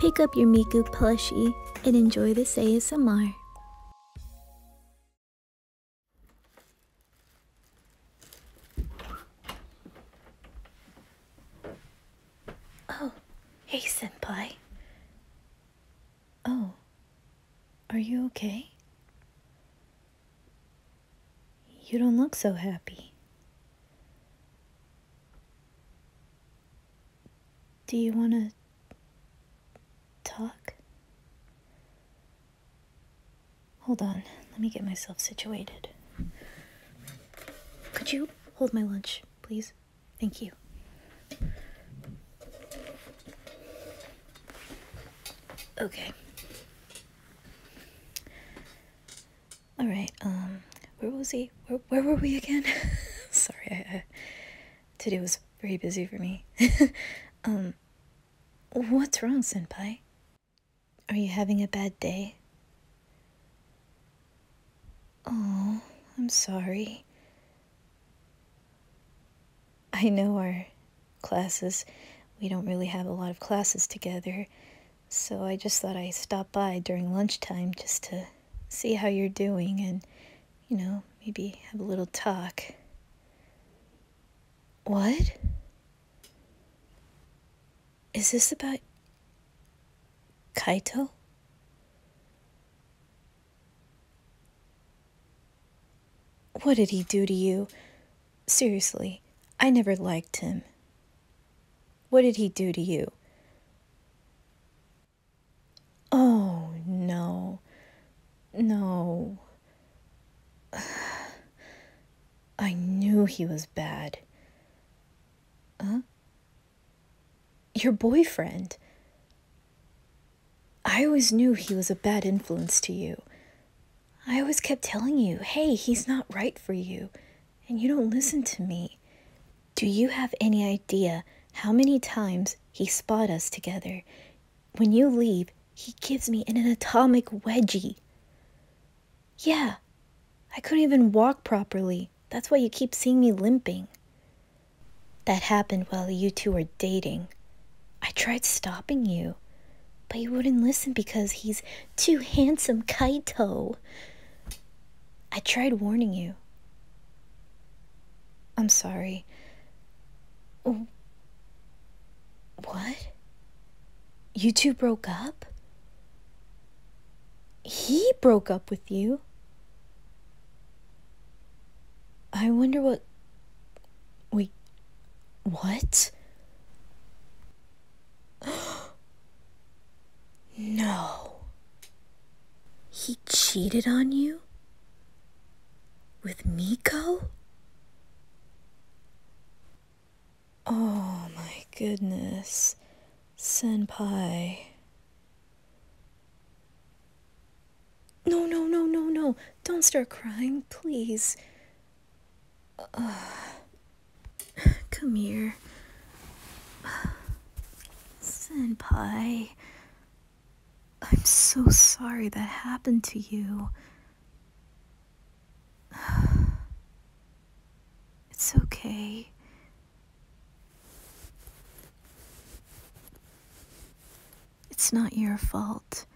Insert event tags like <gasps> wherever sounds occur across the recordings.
Pick up your Miku plushie and enjoy the ASMR. Oh, hey senpai. Oh, are you okay? You don't look so happy. Do you want to talk? Hold on, let me get myself situated. Could you hold my lunch, please? Thank you. Okay. All right. Um, where was he? Where, where were we again? <laughs> Sorry, I, today was very busy for me. <laughs> um, what's wrong, senpai? Are you having a bad day? Oh, I'm sorry. I know our classes. We don't really have a lot of classes together, so I just thought I'd stop by during lunchtime just to see how you're doing and, you know, maybe have a little talk. What? Is this about Kaito? What did he do to you? Seriously, I never liked him. What did he do to you? Oh, no. No. <sighs> I knew he was bad. Huh? Your boyfriend. I always knew he was a bad influence to you. I always kept telling you, hey, he's not right for you, and you don't listen to me. Do you have any idea how many times he spot us together? When you leave, he gives me an atomic wedgie. Yeah, I couldn't even walk properly. That's why you keep seeing me limping. That happened while you two were dating. I tried stopping you, but you wouldn't listen because he's too handsome, Kaito. I tried warning you. I'm sorry. What? You two broke up? He broke up with you? I wonder what. Wait. What? <gasps> no. He cheated on you? With Miko? Oh my goodness, Senpai. No, no, no, no, no. Don't start crying, please. Uh, <sighs> Come here. <sighs> Senpai. I'm so sorry that happened to you. <sighs> It's okay. It's not your fault.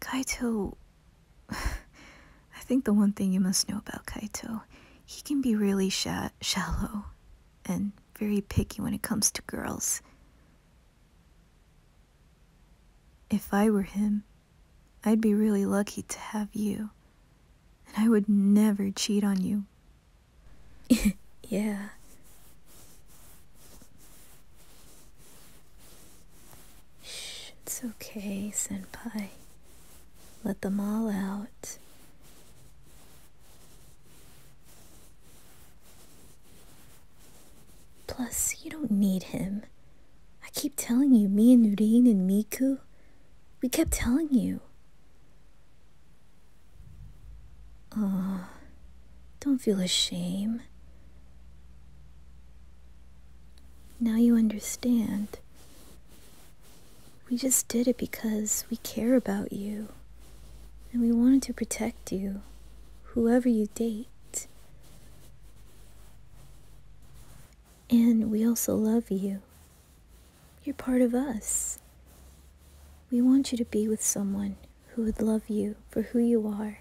Kaito. I think the one thing you must know about Kaito he can be really shallow and very picky when it comes to girls. If I were him, I'd be really lucky to have you, and I would never cheat on you. <laughs> yeah. Shh, it's okay, senpai. Let them all out. Plus, you don't need him. I keep telling you, me and Nureen and Miku, we kept telling you. Oh, don't feel ashamed. Now you understand. We just did it because we care about you and we wanted to protect you, whoever you date. And we also love you. You're part of us. We want you to be with someone who would love you for who you are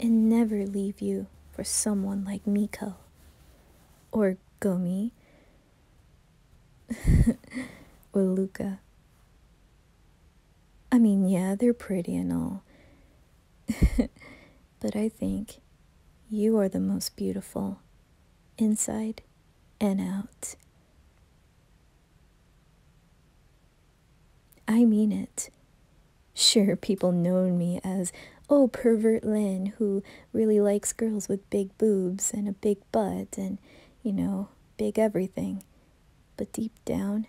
and never leave you for someone like Miko or Gomi <laughs> Well, Luca. I mean, yeah, they're pretty and all. <laughs> but I think you are the most beautiful, inside and out. I mean it. Sure, people know me as, oh, pervert Lynn who really likes girls with big boobs and a big butt and, you know, big everything. But deep down,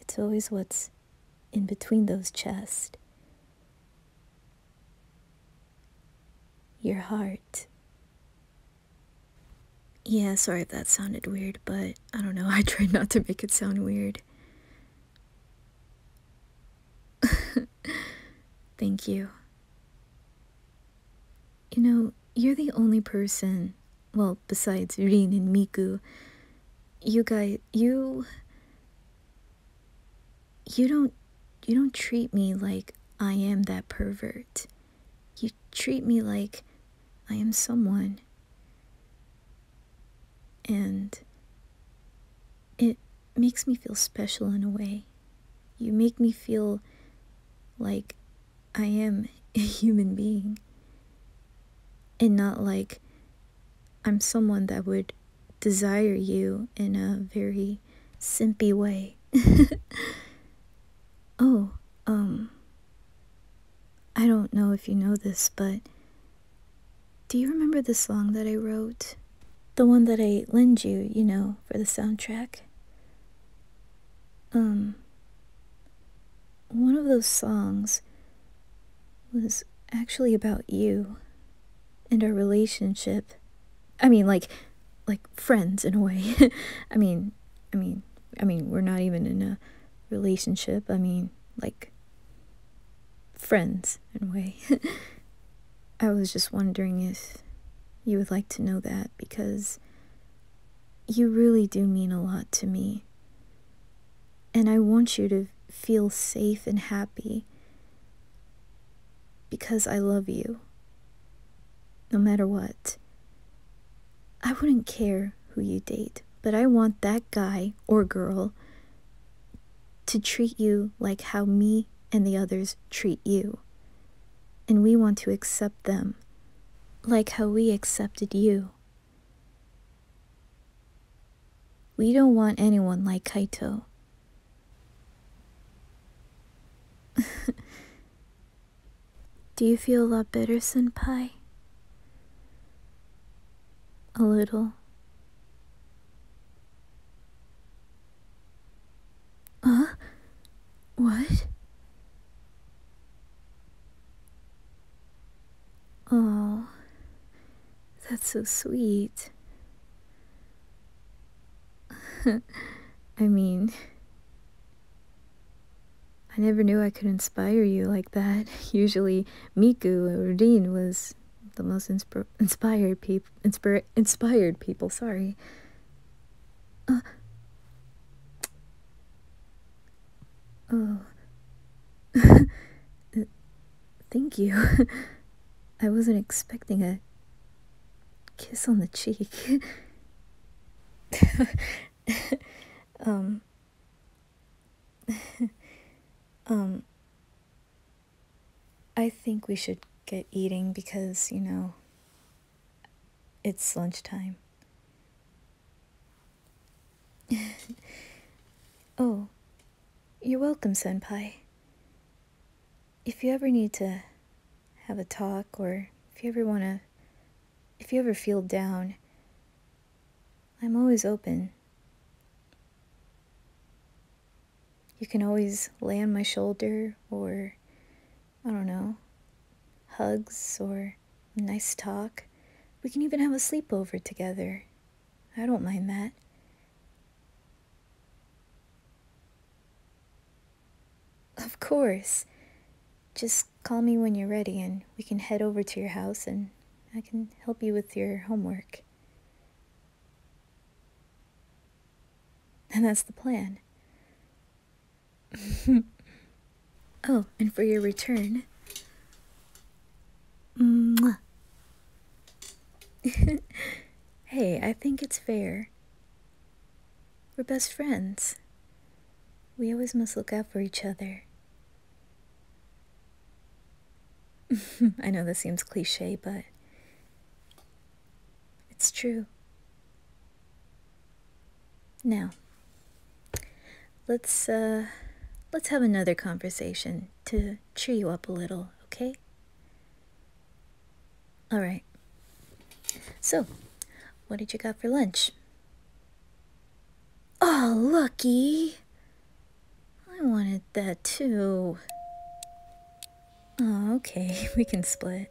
it's always what's in between those chests. Your heart. Yeah, sorry if that sounded weird, but I don't know. <laughs> I tried not to make it sound weird. <laughs> Thank you. You know, you're the only person, well, besides Rin and Miku, you guys, you, you don't, you don't treat me like I am that pervert. You treat me like I am someone. And it makes me feel special in a way. You make me feel like I am a <laughs> human being and not like I'm someone that would desire you in a very simpy way. <laughs> oh, um, I don't know if you know this, but do you remember the song that I wrote? The one that I lend you, you know, for the soundtrack? Um, one of those songs was actually about you and our relationship. I mean, like, like friends in a way. <laughs> I mean, I mean, I mean, we're not even in a relationship. I mean, like, friends in a way. <laughs> I was just wondering if you would like to know that because you really do mean a lot to me. And I want you to feel safe and happy because I love you. No matter what. I wouldn't care who you date, but I want that guy or girl to treat you like how me and the others treat you. And we want to accept them, like how we accepted you. We don't want anyone like Kaito. <laughs> Do you feel a lot better, Senpai? A little. Huh? What? Oh, that's so sweet. <laughs> I mean, I never knew I could inspire you like that. <laughs> Usually, Miku or Dean was the most inspired people inspired people sorry uh, oh <laughs> uh, thank you <laughs> i wasn't expecting a kiss on the cheek <laughs> um um I think we should get eating because, you know, it's lunchtime. <laughs> oh, you're welcome, Senpai. If you ever need to have a talk or if you ever want to, if you ever feel down, I'm always open. You can always lay on my shoulder or, I don't know, hugs or nice talk. We can even have a sleepover together. I don't mind that. Of course. Just call me when you're ready and we can head over to your house and I can help you with your homework. And that's the plan. <laughs> oh, and for your return. Mwah. <laughs> hey, I think it's fair. We're best friends. We always must look out for each other. <laughs> I know this seems cliche, but it's true. Now, let's uh, let's have another conversation to cheer you up a little, okay? All right. So, what did you got for lunch? Oh, lucky. I wanted that too. Oh, okay, <laughs> we can split.